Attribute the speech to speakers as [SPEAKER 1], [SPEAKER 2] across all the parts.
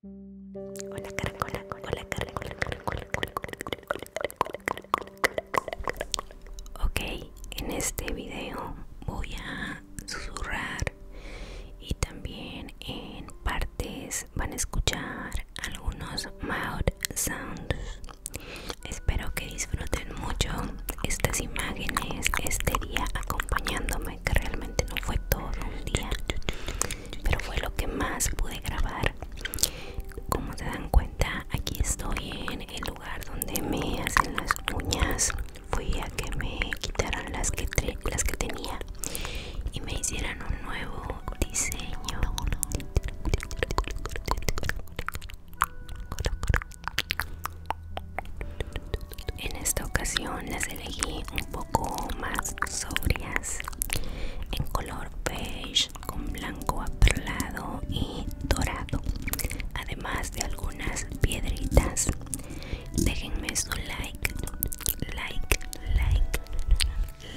[SPEAKER 1] Hola hola Ok, en este video voy a susurrar y también en partes van a escuchar algunos mouth sounds. Espero que disfruten mucho estas imágenes este acompañándome que realmente no fue todo un día pero fue lo que más pude grabar como se dan cuenta aquí estoy en el lugar donde me hacen las uñas fui a que me quitaran las que, las que tenía y me hicieran un nuevo diseño en esta ocasión las elegí un poco más sobrias, en color beige con blanco aperlado y dorado, además de algunas piedritas. Déjenme su like, like, like,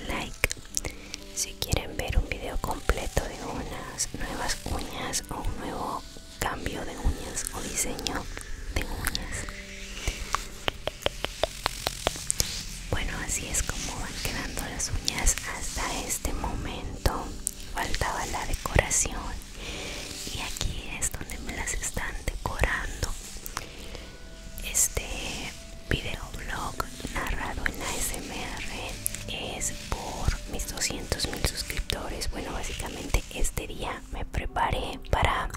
[SPEAKER 1] like. Si quieren ver un video completo de unas nuevas uñas o un nuevo cambio de uñas o diseño de uñas bueno así es como van quedando las uñas hasta este momento faltaba la decoración y aquí es donde me las están decorando este videoblog narrado en ASMR es por mis 200 mil suscriptores bueno básicamente este día me preparé para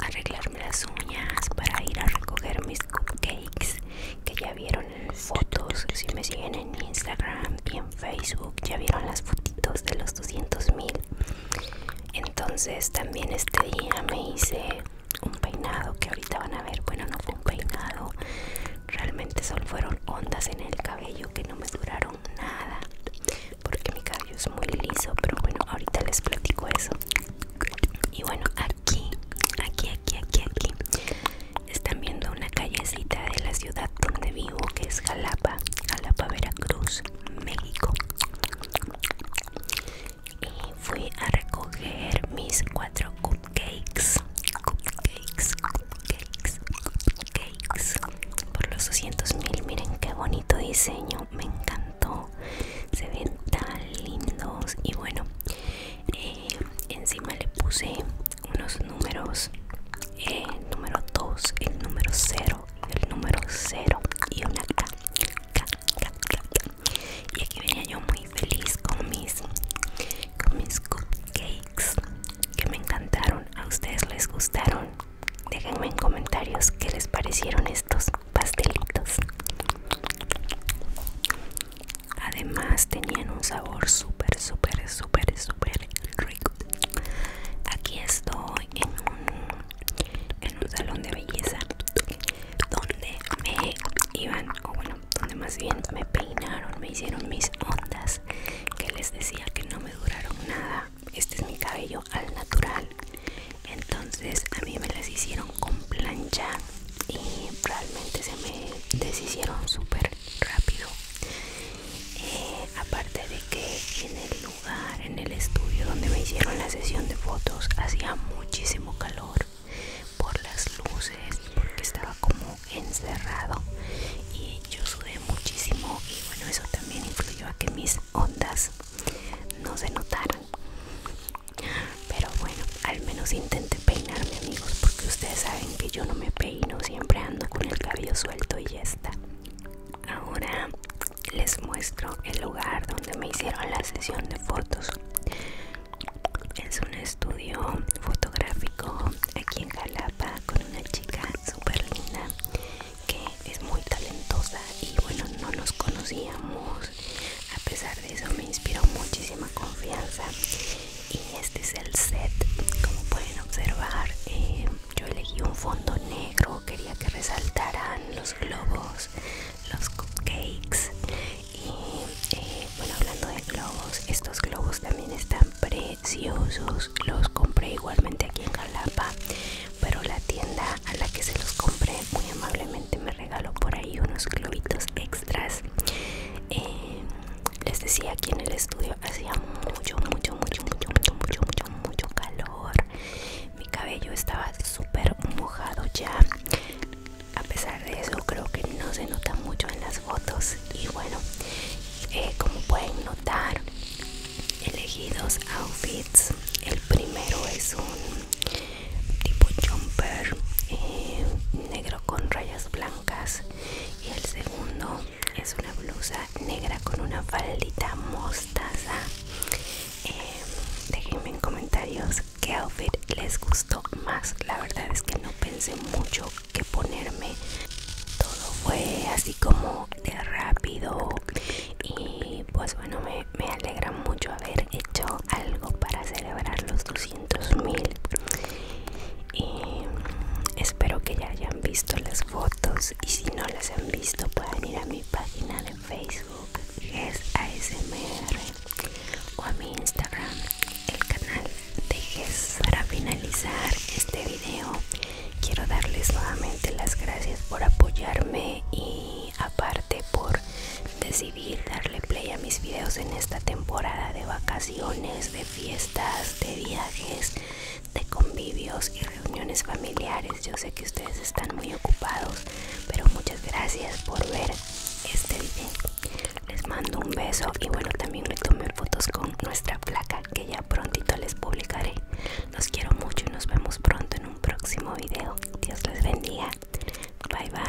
[SPEAKER 1] arreglarme las uñas, para ir a recoger mis cupcakes que ya vieron en fotos. Si me siguen en Instagram y en Facebook, ya vieron las fotitos de los 200 mil. Entonces, también este día me hice un peinado que ahorita van a ver. Bueno, no fue un peinado, realmente solo fueron ondas en el cabello que no me duraron nada porque mi cabello es muy liso pero bueno ahorita les platico eso y bueno aquí aquí aquí aquí aquí están viendo una callecita de la ciudad donde vivo que es Jalapa Jalapa Veracruz México y fui a recoger mis cuatro cupcakes Cakes, cakes, cakes. por los 200 mil. Miren qué bonito diseño, me encantó. Se ven tan lindos. Y bueno, eh, encima le puse unos números: eh, el número 2, el número 0, el número 0 y una K. Y aquí venía yo muy feliz con mis, con mis cupcakes que me encantaron. ¿A ustedes les gustaron? Déjenme en comentarios qué les parecieron estos pastelitos. Además tenían un sabor súper, súper, súper, súper rico. Aquí estoy en un, salón de belleza donde me iban, donde más bien me peinaron, me hicieron mis ondas, que les decía que no me duraron nada. Este es mi cabello al natural. Entonces a mí me las hicieron con plancha y realmente se me deshicieron súper rápido. Eh, aparte de que en el lugar, en el estudio donde me hicieron la sesión de fotos, hacía muchísimo calor por las luces porque estaba como encerrado y yo sudé muchísimo y bueno eso también influyó a que mis ondas no se notaran pero bueno al menos intenté peinarme amigos porque ustedes saben que yo no me peino siempre ando con el cabello suelto y ya está ahora les muestro el lugar donde me hicieron la sesión de fotos es un estudio fotográfico aquí en Jalapa con una chica súper linda que es muy talentosa y bueno no nos conocíamos a pesar de eso me inspiró muchísima confianza y este es el set como pueden observar eh, yo elegí un fondo negro quería que resaltaran los globos los cupcakes y bueno hablando de globos estos globos también están preciosos los compré igualmente aquí en Jalapa pero la tienda a la que se los compré muy amablemente me regaló por ahí unos globitos extras eh, les decía aquí en el estudio hacía mucho mucho mucho mucho mucho mucho mucho mucho calor mi cabello estaba súper mojado ya a pesar de eso creo que no se nota mucho en las fotos y bueno eh, como pueden notar elegí dos outfits el primero es un tipo jumper eh, negro con rayas blancas y el segundo es una blusa negra con una faldita mostaza eh, déjenme en comentarios qué outfit les gustó más la verdad es que no pensé mucho que ponerme todo fue así como de rápido y pues bueno me, alegra mucho haber hecho algo para celebrar los 200 mil y espero que ya hayan visto las fotos y si no las han visto pueden ir a mi página de Facebook GES ASMR o a mi Instagram el canal de GES para finalizar este video quiero darles nuevamente las gracias por apoyarme y aparte por decidir darle play a mis videos en esta temporada de vacaciones de fiestas de viajes de convivios y reuniones familiares. Yo sé que ustedes están muy ocupados, pero muchas gracias por ver este video. Les mando un beso y bueno, también me tomé fotos con nuestra placa que ya prontito les publicaré. Los quiero mucho y nos vemos pronto en un próximo video. Dios les bendiga. Bye bye.